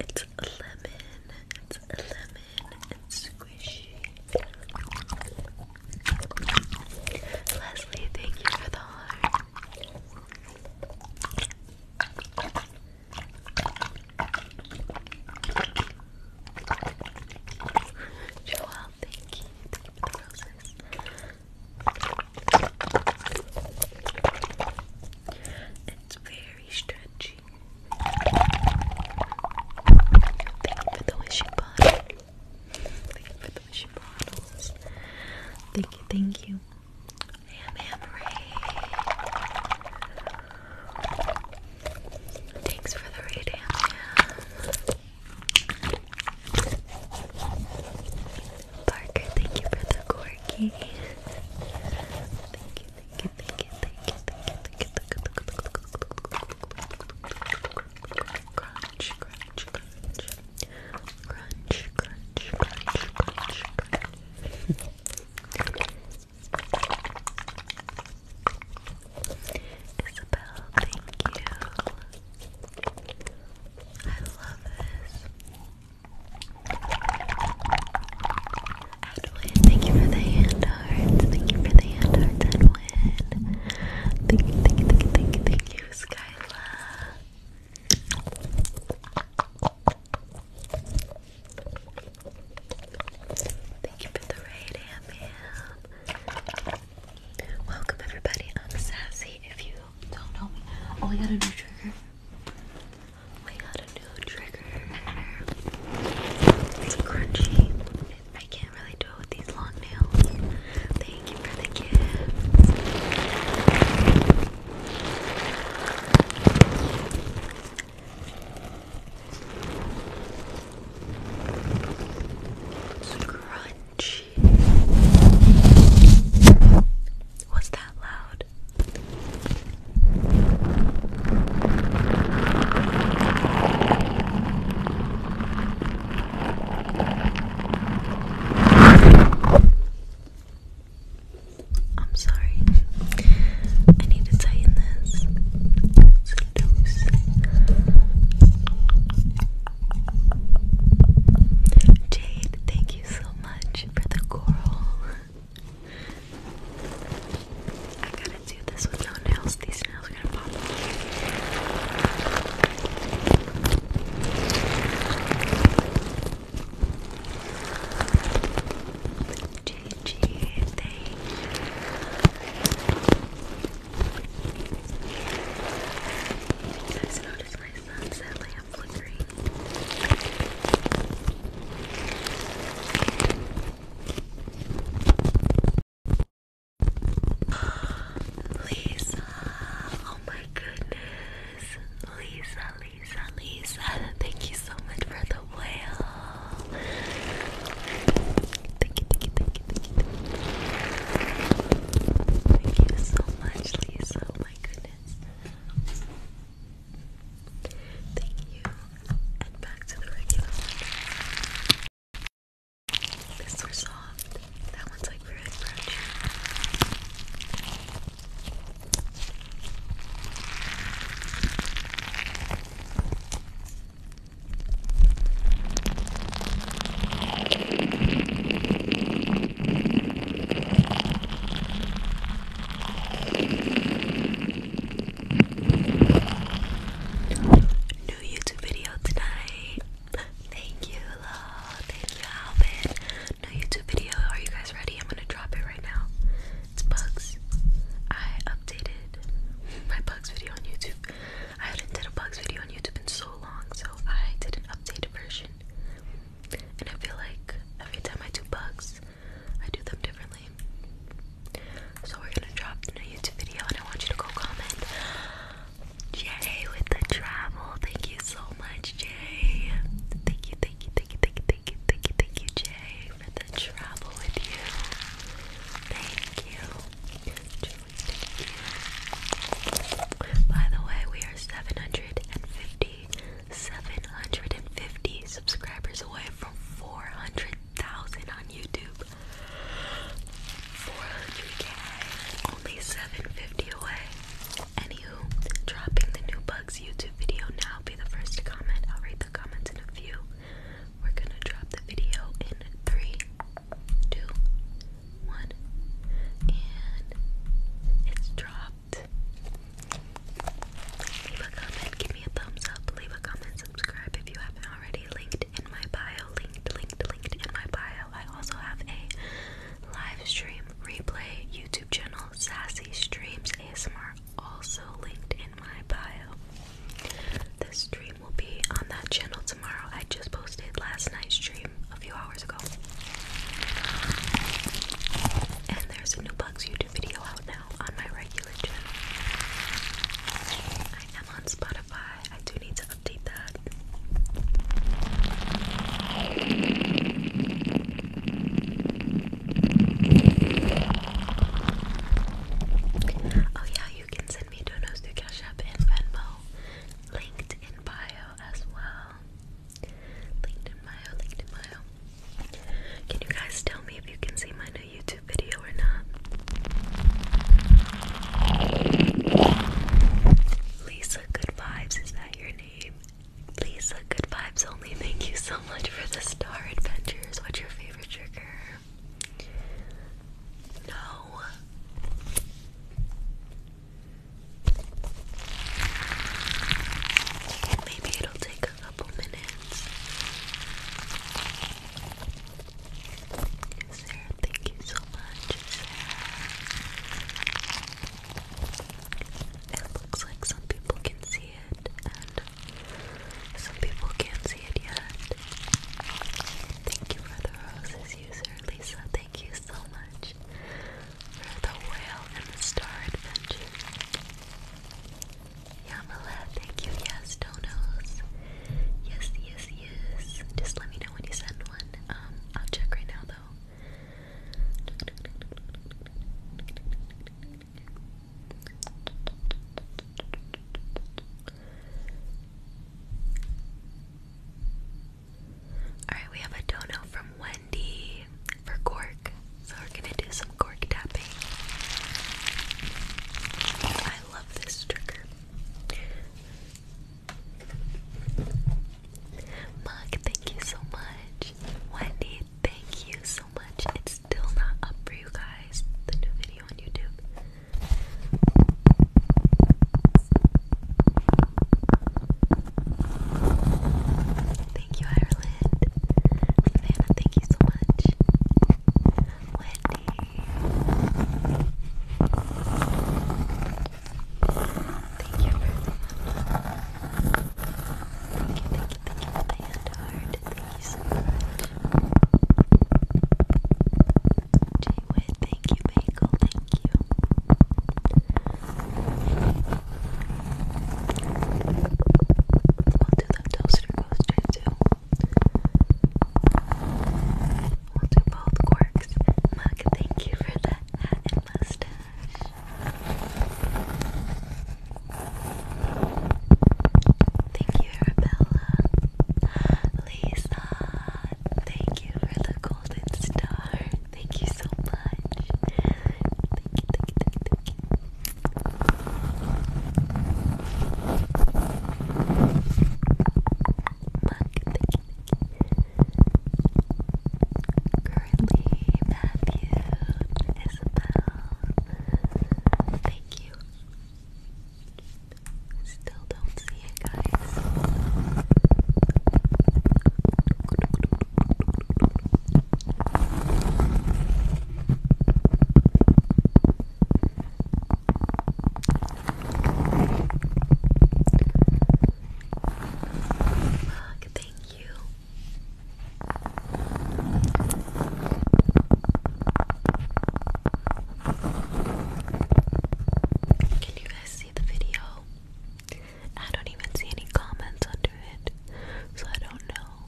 It's a lemon. It's a lemon. It's squishy. Leslie, thank you for the heart. Joel, thank you. Thank the roses. It's very stretchy. Thank you for the wishing bottle. Thank you for the wishing bottles. Thank you, thank you. Am Am Ray. Thanks for the raid, Am Parker, thank you for the corky. thank you, Thank you, thank you, thank you, thank you, thank you. Crunch, crunch, crunch. Crunch, crunch, crunch, crunch, crunch. Isabel, thank you. I love this. Edwin, thank you for the hand hearts. Thank you for the hand hearts, Edwin. Thank you, thank you, thank you, thank you, thank you, Skyla. Thank you for the raid, Amam. Welcome everybody. I'm Sassy. If you don't know me, oh, I got a new trigger. I got a new trigger. It's crunchy. I can't really do it with these long nails. Thank you for the gift. It's crunchy. Was that loud? I'm sorry. I need to tighten this. Jade, thank you so much for the coral. I gotta do this with no nails. These nails are gonna pop off. GG, thank you. You guys notice my sunset lamp flickering? Lisa, oh my goodness. Lisa, Lisa, Lisa, thank you so much for the whale. Thank you, thank you, thank you, thank you. Thank you so much, Lisa. Oh my goodness. Thank you. And back to the regular one. This one's soft. That one's like very crunchy. New YouTube video tonight. Thank you, love. Thank you, Alvin. New YouTube video. Are you guys ready? I'm gonna drop it right now. It's bugs. I updated my bugs video on YouTube. I hadn't did a bugs video on YouTube in so long, so I did an updated version. And I feel like every time I do bugs, I do them differently. So we're gonna drop the new YouTube video and I want you to go comment. Jay with the travel. Thank you so much, Jay. Thank you, thank you, thank you, thank you, thank you, thank you, thank you, Jay, for the travel with you. Thank you. Julie, thank you. By the way, we are 750 750 subscribers away from 400,000 on YouTube. 400k, only 750 away. Anywho, dropping the new Bugs YouTube video now. Be the first to comment. I'll read the comments in a few. We're gonna drop the video in three, two, one, and it's dropped. Leave a comment, give me a thumbs up, leave a comment, subscribe if you haven't already. Linked in my bio, linked, linked, linked in my bio. I also have a live stream replay YouTube channel, Sassy Streams ASMR, also linked in my bio. This stream will be on that channel tomorrow. I just posted last night's stream a few hours ago. And there's a new Bugs YouTube video out now on my regular channel. I am on Spotify. I do need to update that. Oh yeah, you can send me donos through Cash App and Venmo, linked in bio as well. LinkedIn bio, LinkedIn bio. Can you guys tell me if you can see my new YouTube video or not? Lisa Good Vibes, is that your name? Lisa Good Vibes only, thank you so much for the Star Adventures. What's your favorite trigger? No. Maybe it'll take couple minutes. Sarah, thank you so much, It looks like some people can see it, and some people can't see it yet. Thank you for roses, user Lisa. Thank you so much for the whale and the star adventure. Yamala, thank you. Yes, donos. Yes, yes, yes. Just let me know when you send one. Um, I'll check right now though. Alright, we have a dono from Wendy for cork. So we're gonna do some cork tapping. I love this trigger. Mug, thank you so much. Wendy, thank you so much. It's still not up for you guys, the new video on YouTube. Thank you, Ireland. Savannah, thank you so much. Wendy. Thank you very Thank you, thank you, thank you for the Thank you so much. Jay thank you, Bagel, thank you. We'll do the toaster coaster too. We'll do both quirks. Mug, thank you for the hat and mustache. Thank you, Arabella. Lisa, thank you for the golden star. Thank you so much. thank you, thank you, thank you. Currently, Matthew is about. Thank you. Still don't see it, guys. Mug, thank you. Can you guys see the video? I don't even see any comments under it, so I don't know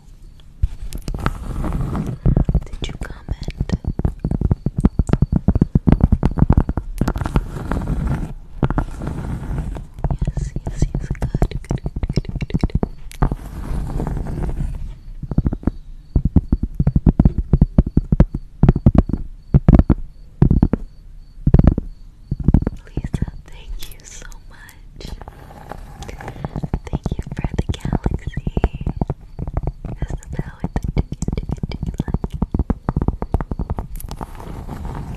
did you comment? Yes, yes, yes. Good, Lisa, thank you so much. Thank you for the galaxy.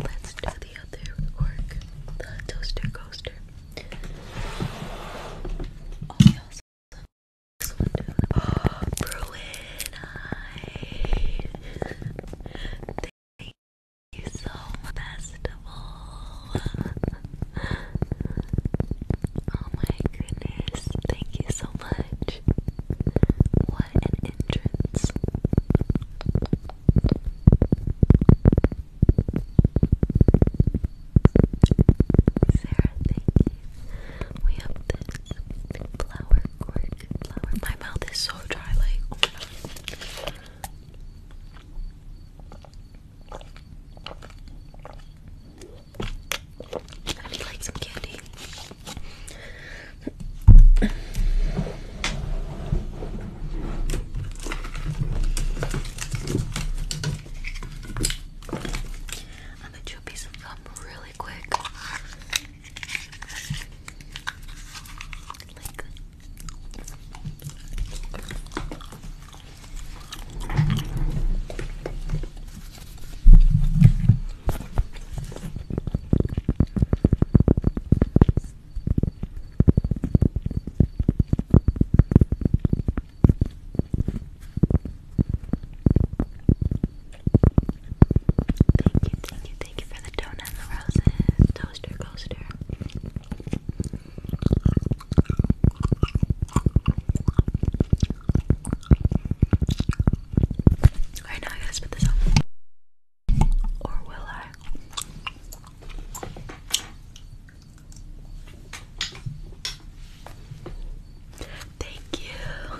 Let's do the other work. The toaster coaster. Oh, Bruin, you festival. oh my goodness, thank you so much. What an entrance. Sarah, thank you. We have this flower cork flower. My mouth is so dry, like oh I need like some candy. I'll get you a piece of gum really quick. Thank you, thank you, thank you for the donut and the roses, toaster coaster. I gotta spit this out. Or will I? Thank you.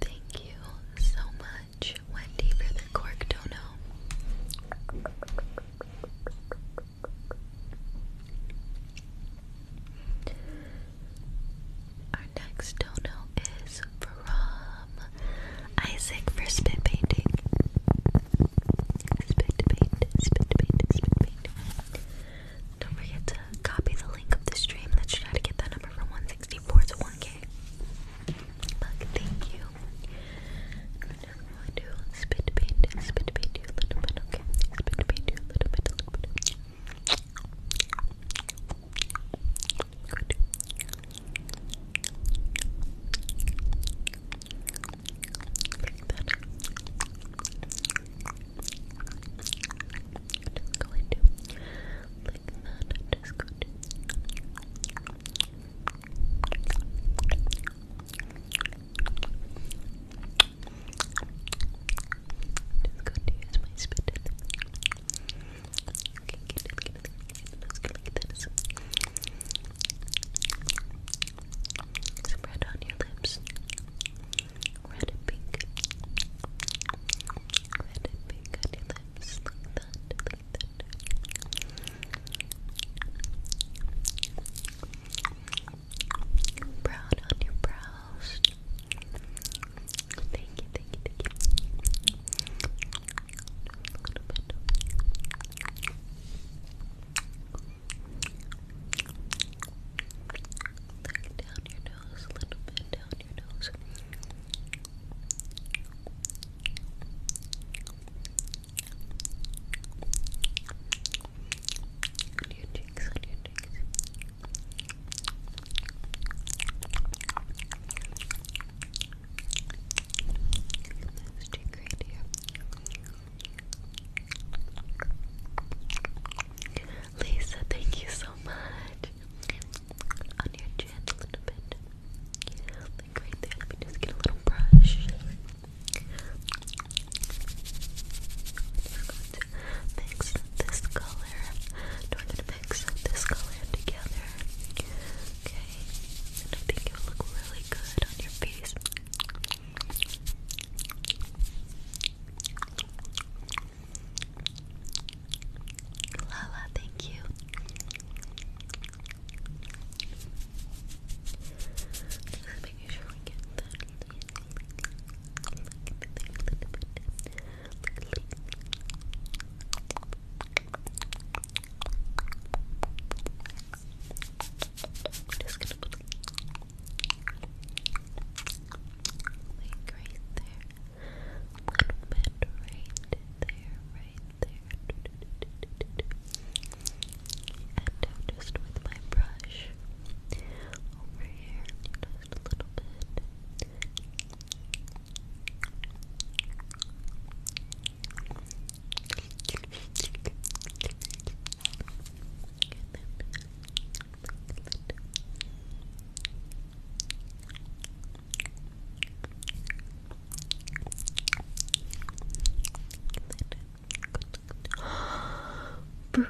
Thank you so much, Wendy, for the cork dono. Our next dono is from Isaac for spit painting. Spit paint, spit paint, spit paint. Don't forget to copy the link of the stream. Let's try to get that number from 164 to 1k. thank you. spit paint, spit paint Spit paint just go into like that. Just go into just going to use my spit in some red on your lips. Red and pink. Red and pink on your lips. Like that. Like that. Brown on your brows. Thank you, thank you, thank you. A little bit. down your nose, a little bit down your nose. On your cheeks, on your cheeks. Lisa, thank you so much. On your chin a little bit. Like right there, let me just get a little brush. mix this color mix this color together. Okay, and I think it will look really good on your face. Lala, thank you. making sure we get that. Just gonna put right there. A little bit right there, right there. And just with my brush over here, just a little bit.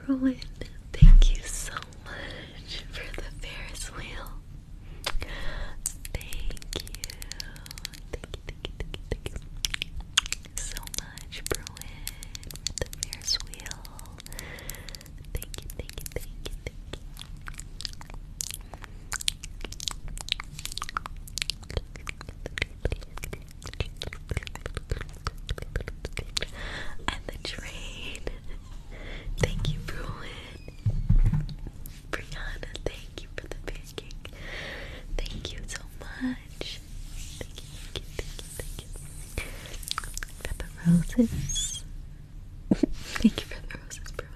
Bruin, thank you so much for the Ferris wheel. Thank you. Thank you, thank you, thank you, So much, for the Fierce Wheel. Thank you, thank you, thank you, thank you. And the train. Thank you, Bruin. Brianna, thank you for the pancake. Thank you so much. Thank you, thank you, thank you, thank you. For the roses. thank you for the roses, Bruin.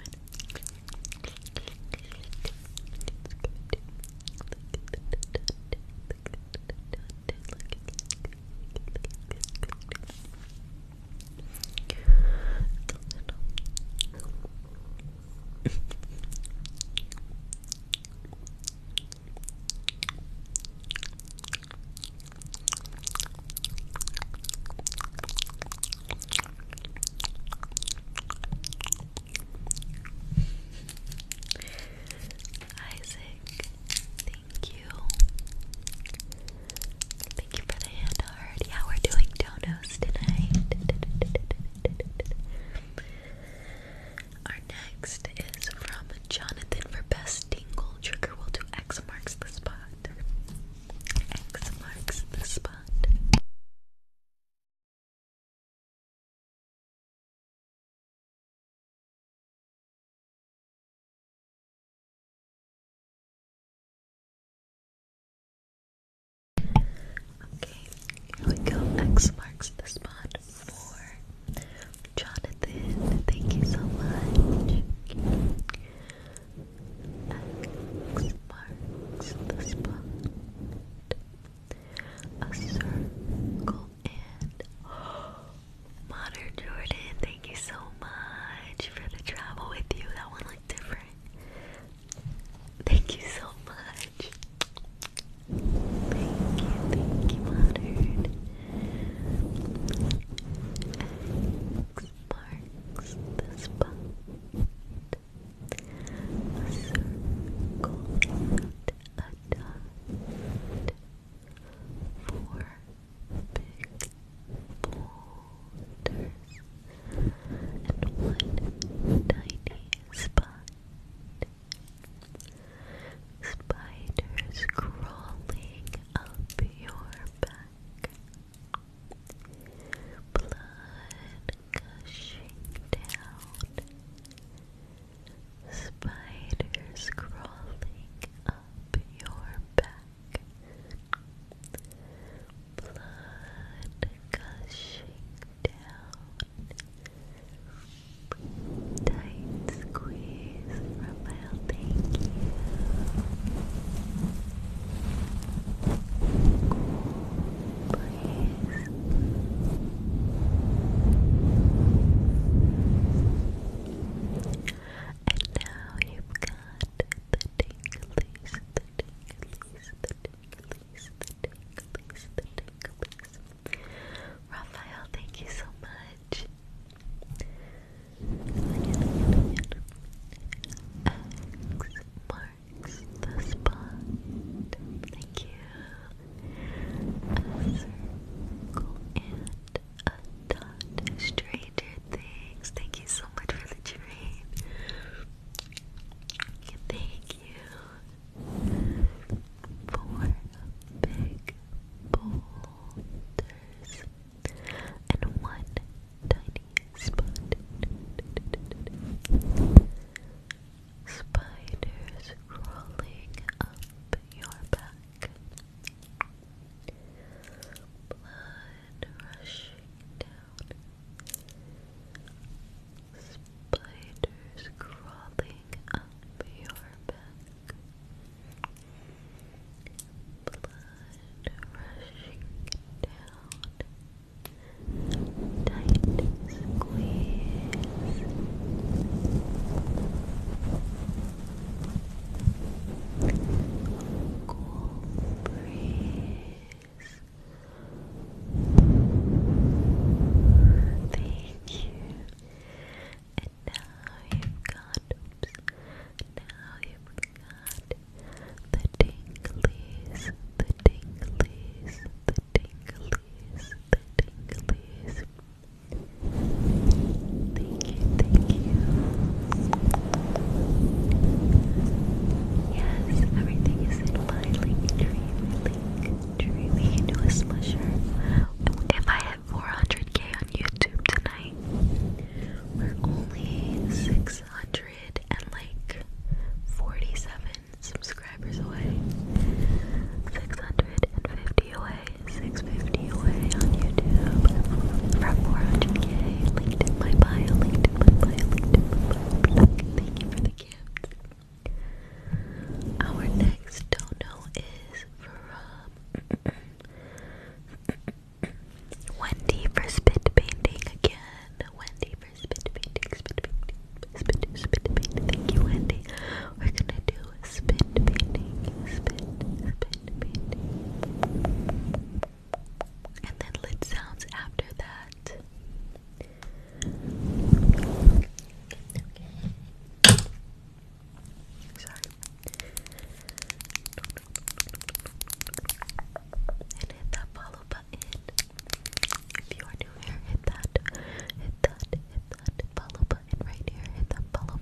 Isaac Thank you. Thank you for the hand Yeah, we're doing donos tonight. Our next is from Jonathan for best tingle trigger. We'll do X marks the spot. X marks the spot. Okay, here we go. X marks the spot for Jonathan. Thank you so much. X marks the spot. A circle and Modern Jordan, thank you so much for the travel with you. That one looked different. Thank you so much. Thank you, thank you, Modern. marks the spot. circle a dot. Four big boulders and one tiny spot. Spiders crawling up your back. Blood gushing down. Spiders crawling up your back blood gushing down, tight squeeze from I'll thank you. And now you've got Raphael, thank you so much. marks the spot. Thank you a dot. Stranger Things. Thank you so much for the dream. Thank you for big boulders and one tiny spot. Spiders crawling up your back. Blood rushing down. Spiders crawling up your back. Blood rushing down. Tight squeeze cool breeze. Thank you. And now you've got, now you've got the tinglies, the tinglies, the tinglies, the tinglies. Thank you, thank you. Yes, everything is in my link tree, link tree. We If I hit 400k on YouTube tonight, we're only 650 away, on YouTube from 400k. Linked in my bio, linked in my Thank you for the gift. Our next dono is from Wendy for spit painting again. Wendy for spit painting, spit painting. Spit, spit painting. Thank you, Wendy. We're gonna do spit painting. Spit, spit painting and then lid sounds after that. Sorry. And hit that follow button. If you are new here, hit that, hit that, hit that follow button right here. Hit that follow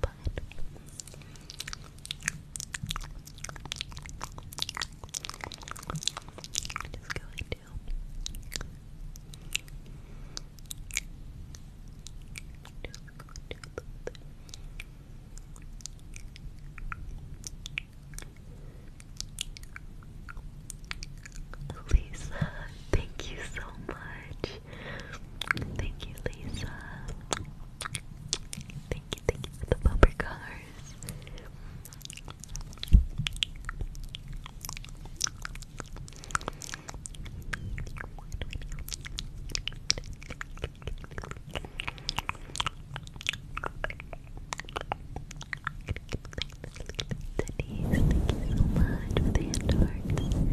Lisa, thank you so much. Thank you, Lisa. Thank thank you for the bumper cars. thank you so much for the hand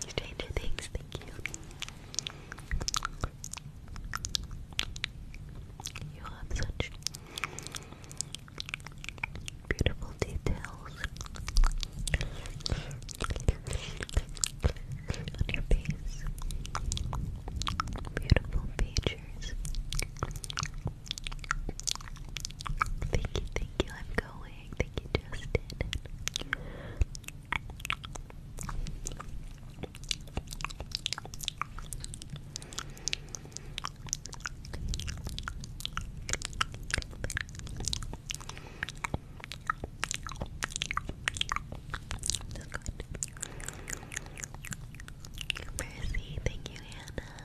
Stranger Things, thank you. You have such beautiful details on your face. Beautiful features. Thank you, thank you. I'm going. Thank you, Justin. Mercy, thank you, Hannah.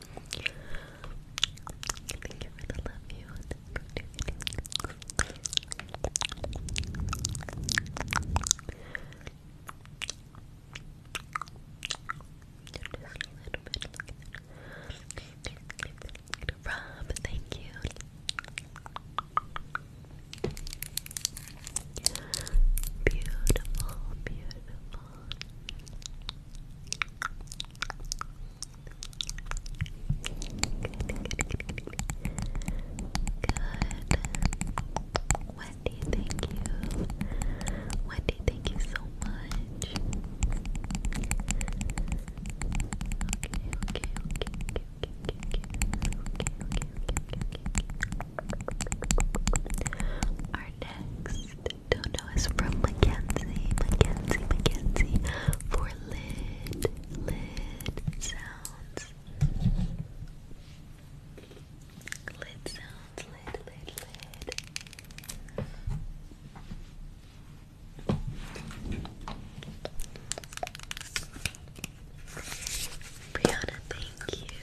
Thank you for the love you on thank you. Beautiful, beautiful, Good. Wendy, thank you. Wendy, thank you so much. Okay, okay, okay, okay, okay, okay, okay, okay, okay, okay, okay, okay, okay, don't know is from Mackenzie, Mackenzie, Mackenzie for lid, lid sounds. Lid sounds, lid, lid, lid. Brianna, thank you.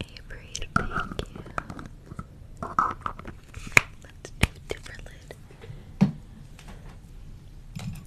Avery, thank you. Let's do different lid. Thank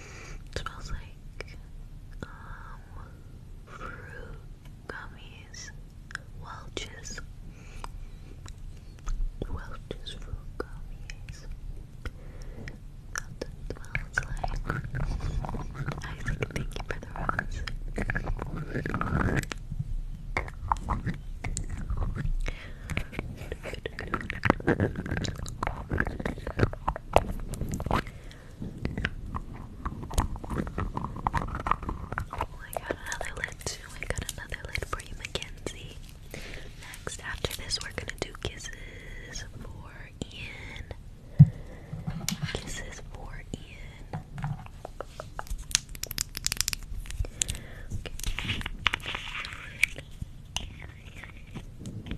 It smells like um fruit gummies. Welch's Welch's fruit gummies. That's smells like. I think thank you for the rose. Oh, I got another lid too. I got another lid for you, Mackenzie. Next, after this, we're gonna do kisses for Ian. Kisses for Ian. Don't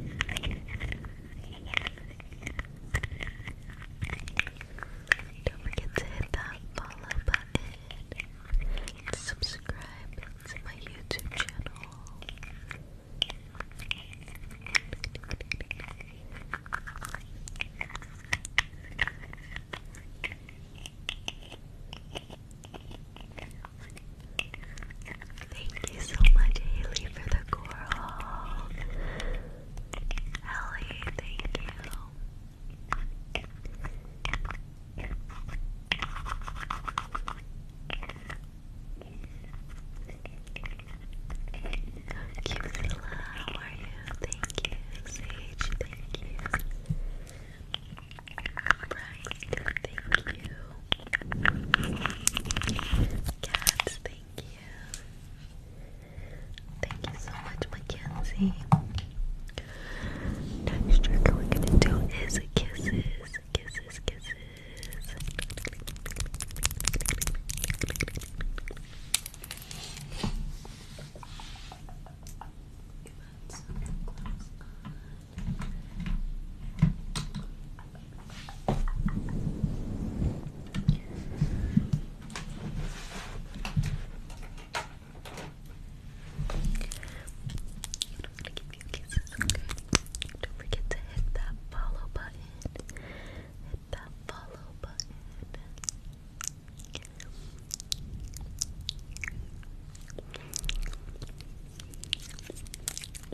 forget to hit that follow button. Subscribe to my YouTube channel. Thank you so much, Haley, for the coral. Ellie, thank you. Cute, how are you? Thank you, Sage. Thank you. Brian, thank you. Cats, thank you. Thank you so much, Mackenzie. Next we're gonna do is kisses, kisses, kisses you kisses, Don't forget to hit that follow button. Hit that follow button.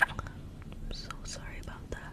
I'm so sorry about that.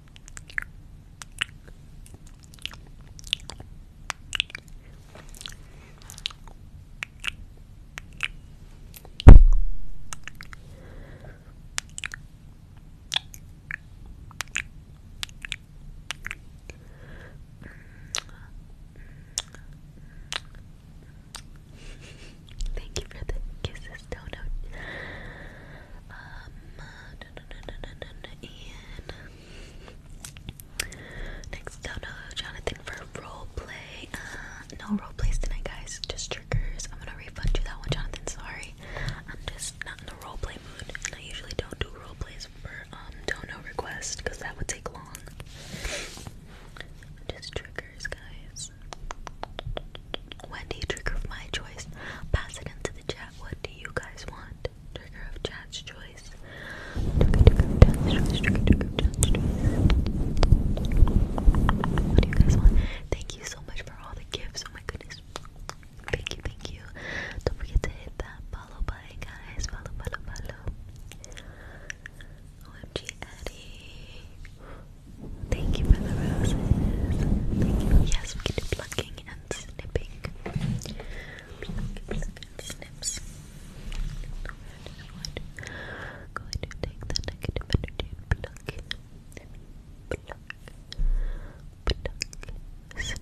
Thank you for the kisses, Dono. Um, da, next down, Jonathan for role play. Uh, no role plays tonight, guys. Just triggers. I'm gonna refund you that one, Jonathan. Sorry, I'm just not in the role play mood, and I usually don't do role plays for um dono requests because that would take long. Just triggers, guys. Wendy, trigger of my choice. Pass it into the chat. What do you guys want? Trigger of chat's choice. Trigger, trigger chat's choice. Trigger, trigger chat's choice. What do you guys want? Thank you so much for all the gifts. Oh my goodness. Thank you, thank you. Don't forget to hit that follow button, guys. Follow, follow, follow. OMG Eddie. Thank you for the roses. Yes, we do plucking and snipping. Pluck, and snips. going to take the negative energy and pluck, pluck, pluck, snip, snip, snip,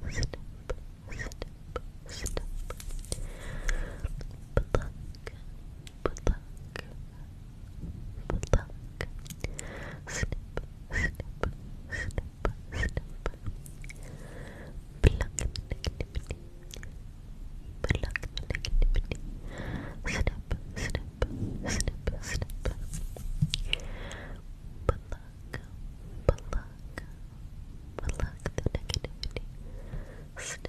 pluck, snip, snip, snip step. Pluck, pluck, pluck. Snip, snip, snip, snip. Pluck the negativity. Pluck Snip, snip, snip, snip. Pluck, pluck, pluck the Snip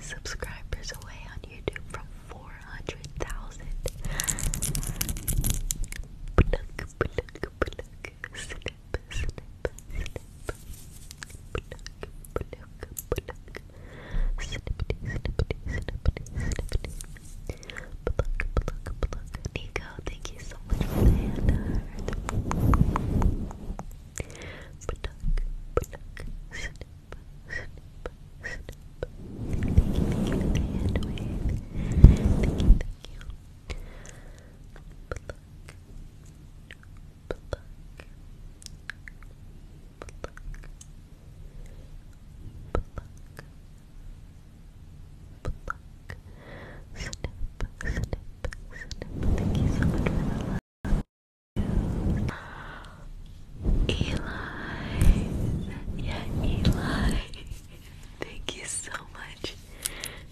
subscribers away on YouTube from 400,000. Nico, thank you so much for the hand Thank you so much for the love. Eli. Yeah, Eli. thank you so much.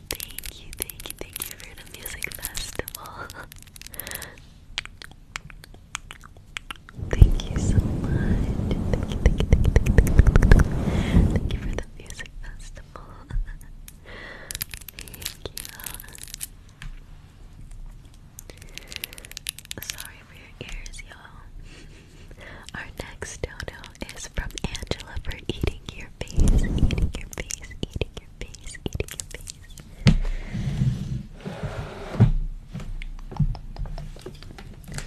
Thank you, thank you, thank you for the music festival. Thank you so much. Thank you, thank you, thank you, thank you. Thank you for the music festival. thank you. Sorry for your ears, y'all. Our next dodo is from Angela for eating your face, eating your face, eating your face, eating your face.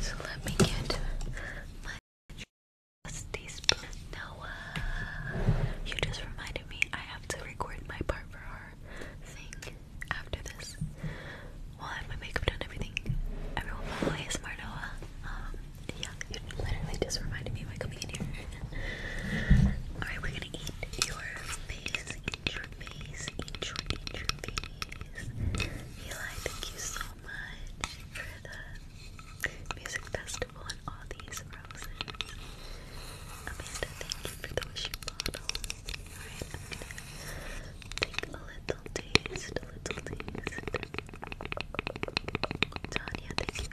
So let me get my teaspoon. Noah, you just reminded me I have to record my part for our thing after this. Well, I have my makeup done, everything. Everyone follow ASMR Noah. Um, yeah, you literally just reminded me by coming in Alright, we're gonna eat your face, eat your face, eat Eli, thank you so much for the music festival and all these roses. thank you for the wishing bottle. Alright, a little taste, a little taste. Tanya, thank you.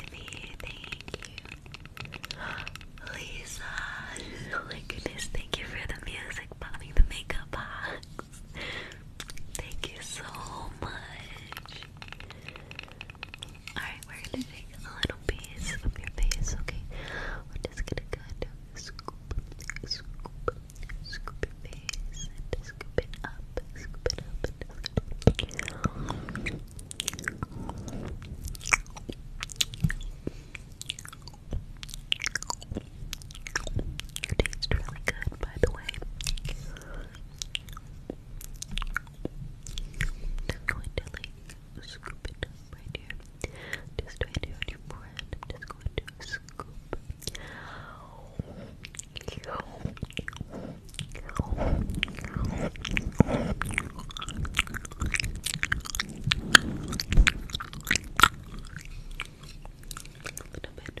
Vivi, thank you. Lisa, oh goodness, thank you for the music, popping the makeup box. Thank you so much. Alright, we're gonna take a little piece of your face, okay? We're just gonna kind of scoop, scoop, scoop your face scoop it up, scoop it up, and scoop you really good, by the way. i going to scoop it up right just going to scoop. A little bit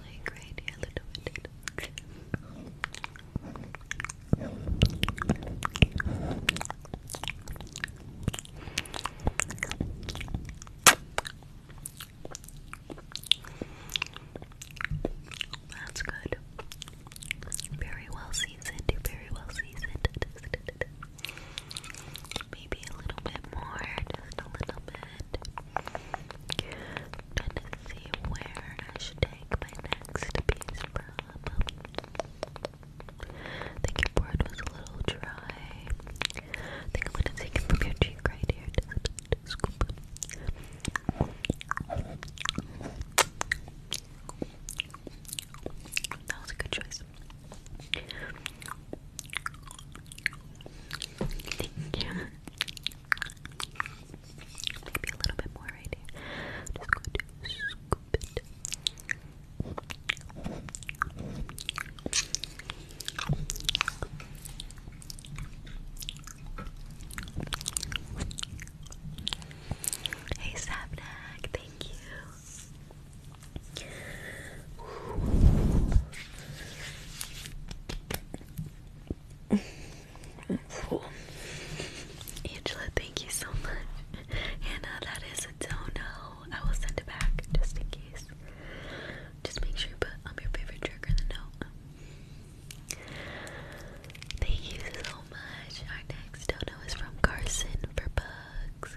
Like right That's good. Very well seasoned. Very well seasoned maybe a little bit more, just a little bit, and see where I should take my next piece from. The keyboard was a little dry. think I'm gonna take it from your here. That was a good choice. Thank you. Maybe a little bit more right here. Just going to scoop Hey Sapnack, thank you. Angela, thank you so much. Hannah, uh, that is a dono. I will send it back just in case. Just make sure you put um, your favorite trigger in the note. Thank you so much. Our next dono is from Carson for Bugs.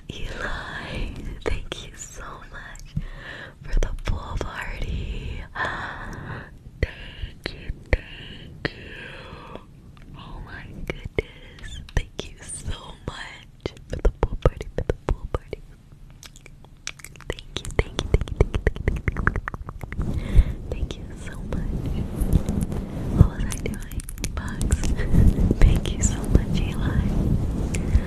Eli. Thank you so much for the pool party. Thank you, thank you. Oh my goodness. Thank you so much for the pool party, for the pool party. Thank you, thank you, thank you, thank you, thank you. Thank you so much. What was I doing? Bugs. thank you so much, Eli.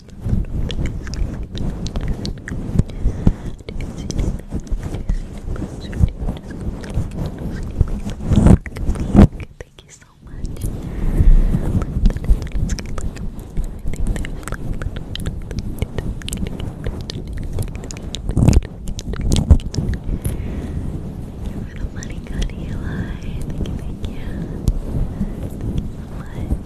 Thank you so much. You're the money god Eli. Thank you, thank you. Thank you so much.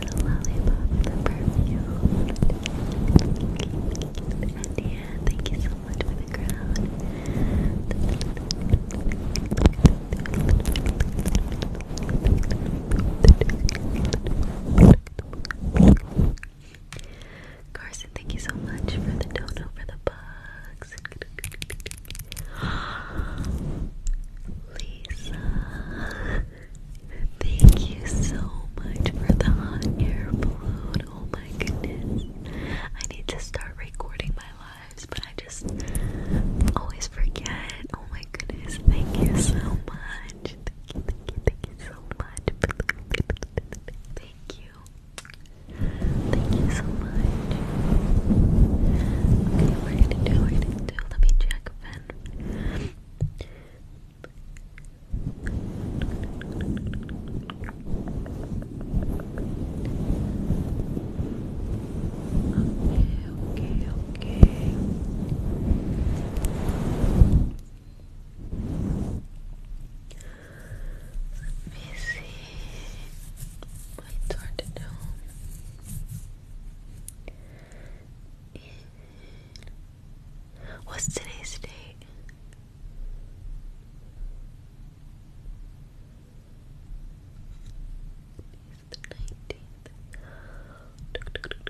little lollipop with the perfume. And yeah, thank you so much for the crown. Carson, thank you so much for the dono for the bugs. Lisa Thank you so much for the hot air balloon. Oh my goodness. I need to start recording my lives, but I just always forget. Oh my goodness. Thank you so much. Thank you, thank you, so much. Thank you. Thank you so much. Okay, we're gonna do, we're gonna do, let me check okay, okay. Let me see. It's hard to know. What's today's date? It's the nineteenth.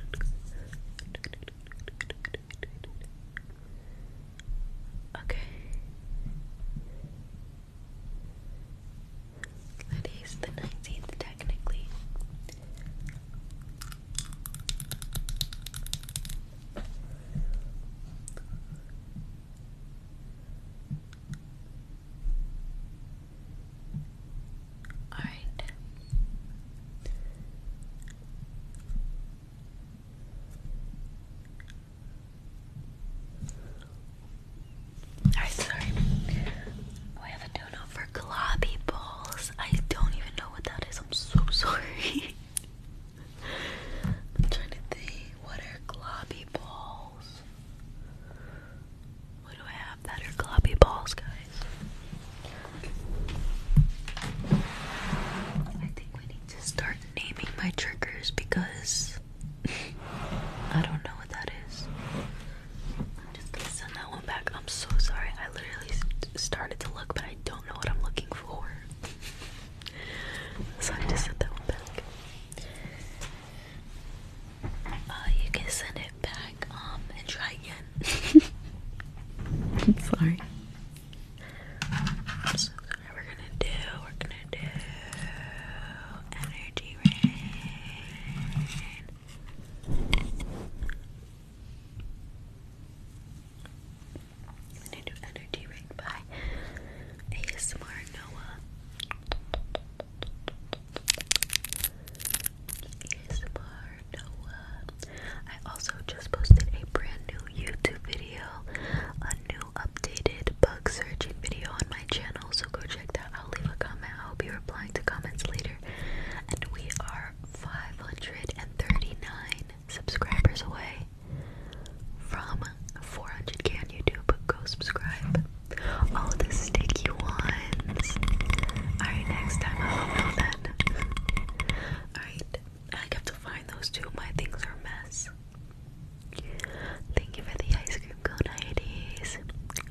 Okay. That is the nineteenth, technically. All right. I sorry. We have a don't know for globby balls. I don't even know what that is. I'm so sorry. I'm trying to think. What are globby balls? What do I have that are globby balls, guys? I think we need to start naming my triggers because I don't know what that is. I'm just send that one back. I'm so sorry. I literally started to look, but I don't know what I'm looking for. so I just sent that one back. Uh, you can send it back um, and try again. sorry. So we're gonna do, we're gonna do energy rain. I'm to Energy Ring by ASMR Noah. ASMR Noah. I also just posted a brand new YouTube video, a new updated bug searching video on my channel, so go check that out. Leave a comment. I'll be replying to comments later. And we are 539 subscribers away from 400 Can you do? But Go subscribe. Oh, the sticky ones. Alright, next time I'll know then. Alright, I have to find those two. My things are a mess. Thank you for the ice cream cone, Hades. Pluck.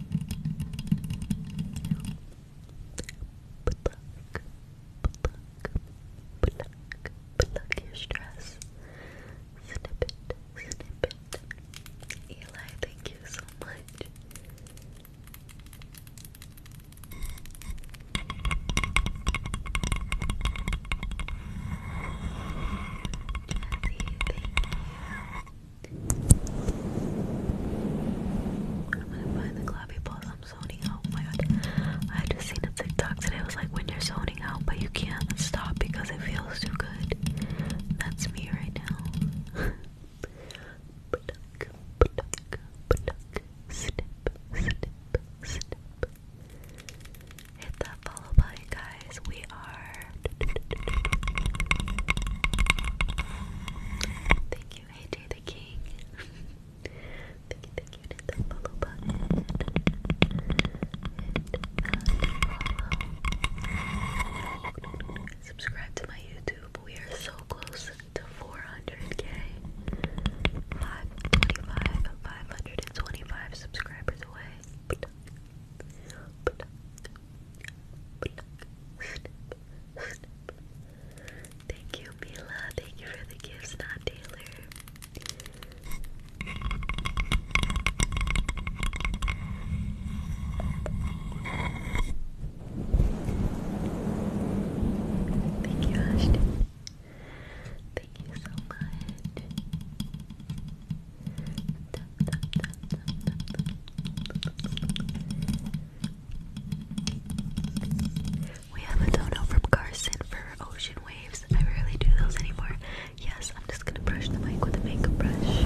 Pluck, pluck, pluck, pluck your stress. Snip it, Eli, thank you so much. I'm gonna find the clappy paws. I'm zoning Oh my god. I just seen a TikTok today. It was like when you're zoning out, but you can't stop because it feels too good. That's me right now. Pluck, pluck, pluck. Snip, snip, snip. Hit that follow button, guys. We are Thank you, AJ the King. thank you, thank you to the follow button. And Subscribe to my YouTube. We are so close to 400k. 525, 525 subscribers away. Thank you, Mila. Thank you for the gifts, not Taylor. Thank you, Ashton. Thank you so much. We have a dono from Carson for ocean waves. I rarely do those anymore. Yes, I'm just gonna brush the mic with a makeup brush.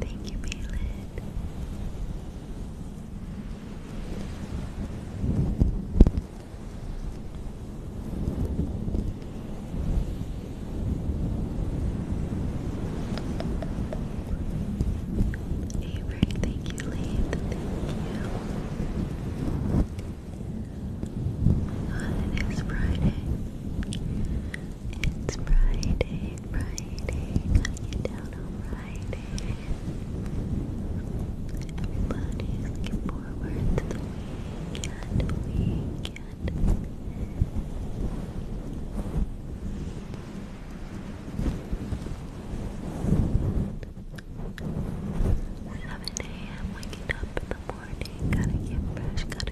Thank you, Maylin. Avery, thank you, Lathan, thank you. Oh it is Friday. It's Friday, Friday, got you down on Friday. Everybody's looking forward to the weekend, weekend. Seven a.m. waking up in the morning, gotta get fresh, gotta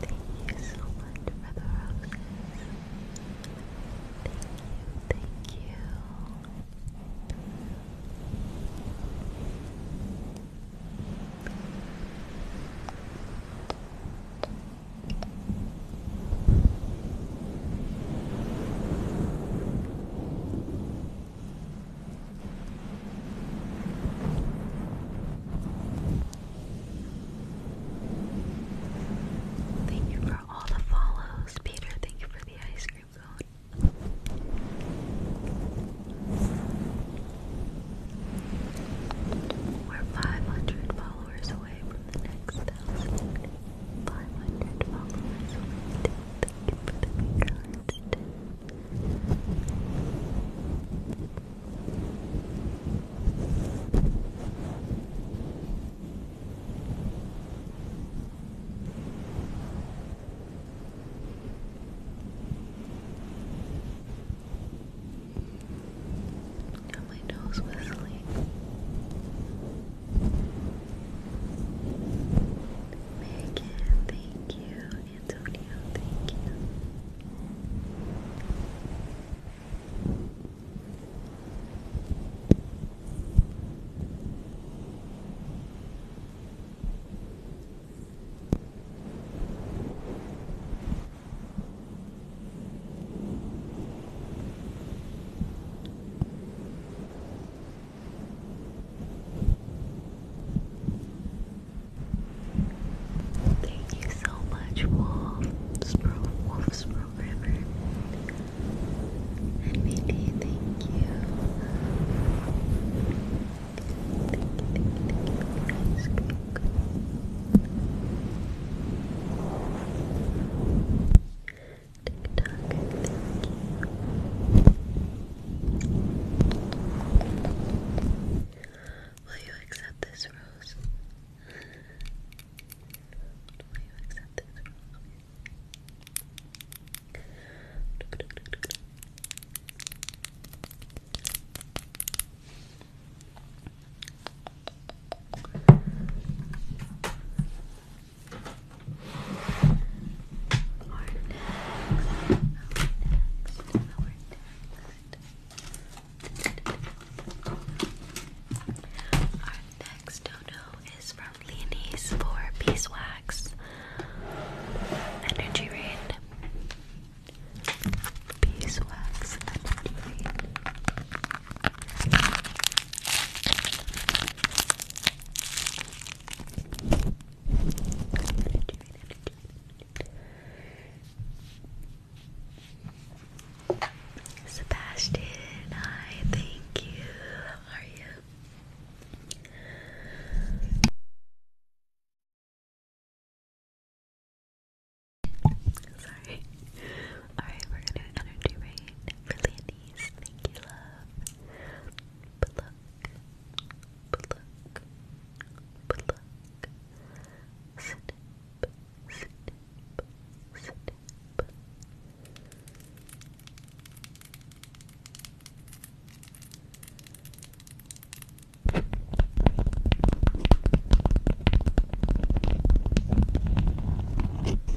Thank you so much for the roses. Thank you, thank you. Thank you for all the follows, Peter. Thank you for the ice cream cone. We're 500 followers away from the next thousand. 500 followers waited. Thank you for the big hearts, now my nose whistling. Megan, thank you. Antonio, thank you. Thank you so much, Wolf's Pro Wolf's Programmer. And Mindy, thank Thank you, thank you, thank you. TikTok, thank you. Will you accept this rose? Will you accept this rose? Okay. Our next, our next, our next. Our next dono is from Leonie's for beeswax energy rain. Beeswax energy rain. Sebastian, hi, thank you. How are you? Sorry. Alright, we're gonna do energy rain for Landy. Thank you, love. Pluck. Pluck. Pluck. Snip. Snip. Snip.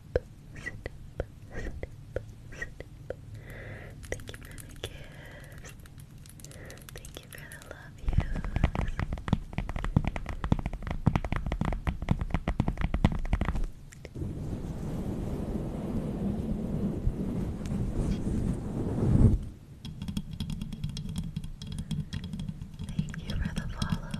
Thank you for the gifts. Thank you for the love Thank you for the follows.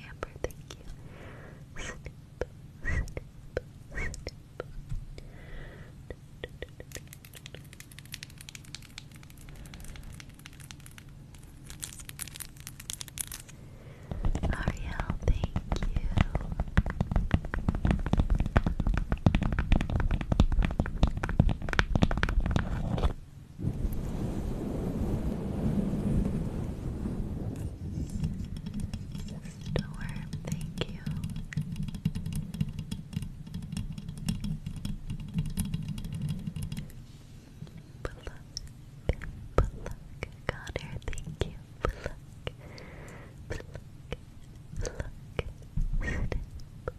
Amber, thank you. Ariel, thank you. Storm, thank you. Pluck, pluck, Connor, thank you. Pluck, pluck, pluck, snip,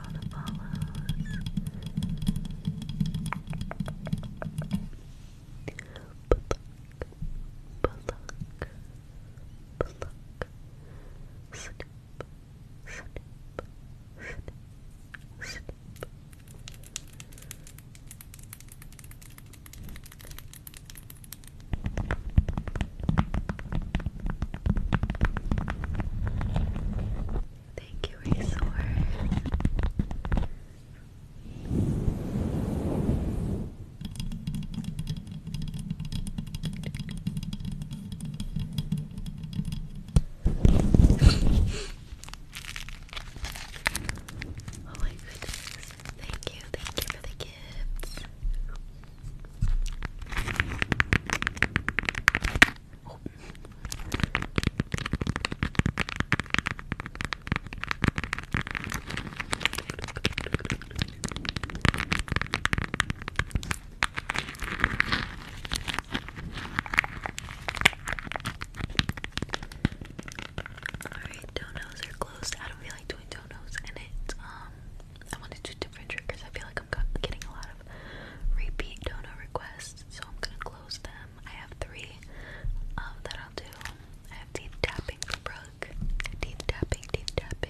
for all the follows. Pluck, pluck, pluck. Snip, Thank you, Resor. oh my goodness. Thank you, thank you for the gifts. Alright, donuts are closed. I don't feel like doing donuts, and it's um, I want to do different triggers. I feel like i getting a lot of repeat donor requests, so I'm gonna close them. I have three um, that I'll do. I have teeth tapping Brooke. Teeth tapping, teeth tapping.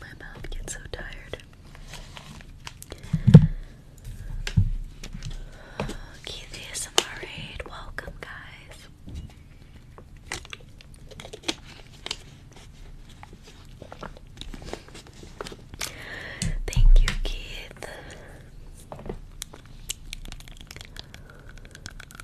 My mouth gets so tired. Keith ASMR Raid, welcome guys. Thank you, Keith.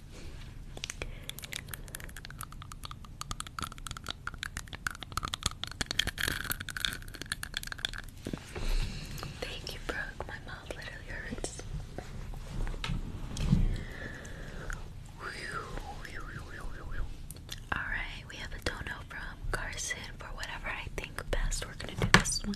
Thank you, Brooke. My mouth literally hurts. Alright, we have a dono from Carson for whatever I think best. We're gonna do this one.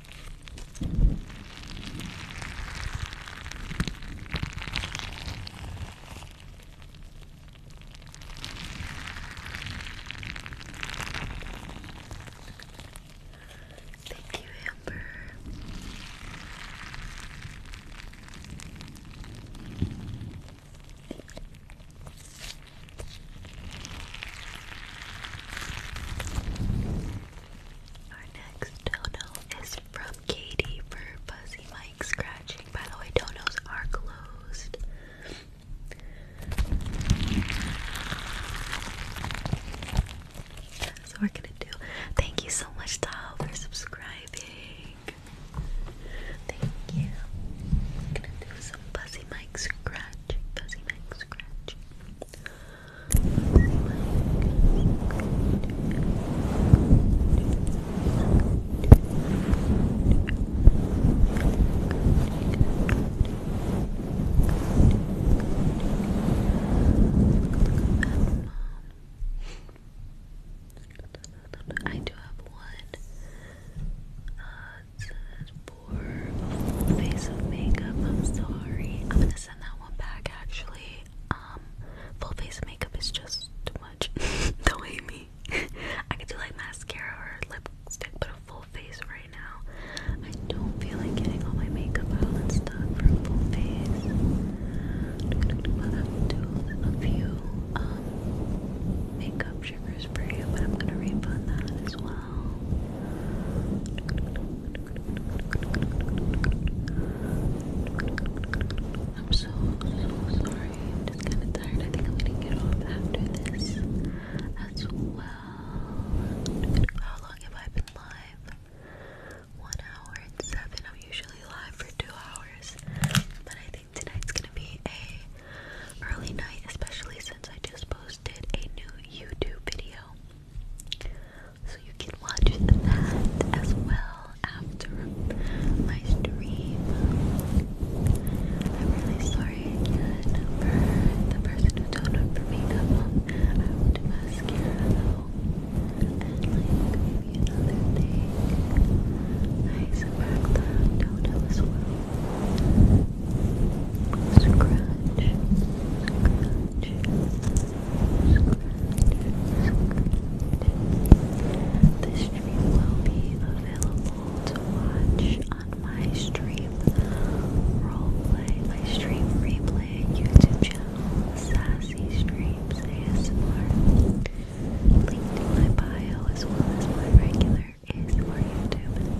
Thank you, Amber. Our next dono is from Katie for Fuzzy Mike Scratching. By the way, donos are closed. So we're gonna do. Thank you so much, Tal, for subscribing. Thank you. gonna do some Fuzzy Mike Scratch. Fuzzy Mike Scratch. I do have one. Uh, poor little face of makeup. I'm sorry. I'm gonna send that one back actually. Um, full face of makeup is just too much. Don't hate me. I could do like mascara or lipstick, but a full face right now. I don't feel like getting all my makeup out and stuff for a full face. I'll have to do a few um, makeup triggers for you, but I'm gonna refund that as well. I'm so, so sorry. I'm just kind of tired. I think I'm gonna get off after this as well. How long have I been live? One hour and seven. I'm usually live for two hours, but I think tonight's gonna be a early night, especially since I just posted a new YouTube video. So you can watch that as well after my stream. I'm really sorry again for the person who told me for makeup. I will do mascara And maybe another thing. Nice and the donut as well scratch. This stream will be available to watch on my stream replay YouTube channel, Sassy Streams ASMR. Link to my bio as well as my regular ASMR YouTube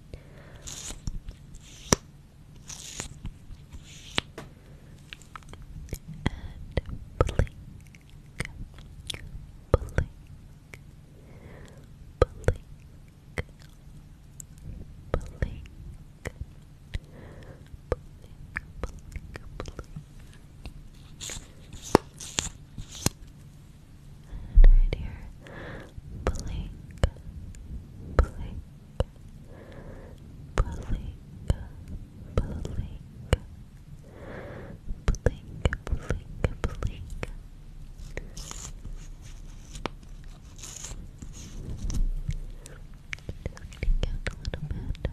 And blink, blink, blink, blink. Blink, blink, blink right here. Blink, blink, blink, blink, blink, blink, blink. Looking out a little bit.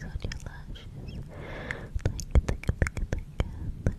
Mascara on your eyes, on your lashes. Blink, blink, blink, blink,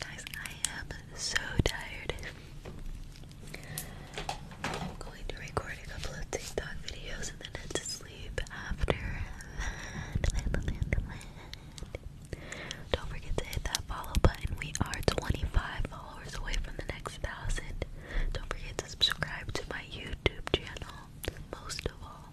Guys, I am so tired. I'm going to record a couple of TikTok videos and then head to sleep after Don't forget to hit that follow button. We are 25 followers away from the next thousand. Don't forget to subscribe to my YouTube channel. Most of all,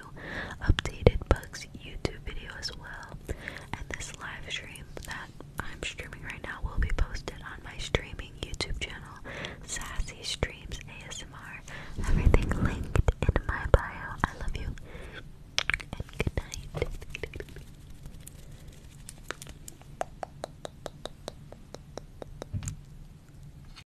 updated Bugs YouTube video as well. And this live stream that I'm streaming right now will be posted on my streaming YouTube channel, Sassy Streams ASMR. Everything linked in my bio. I love you. And good night.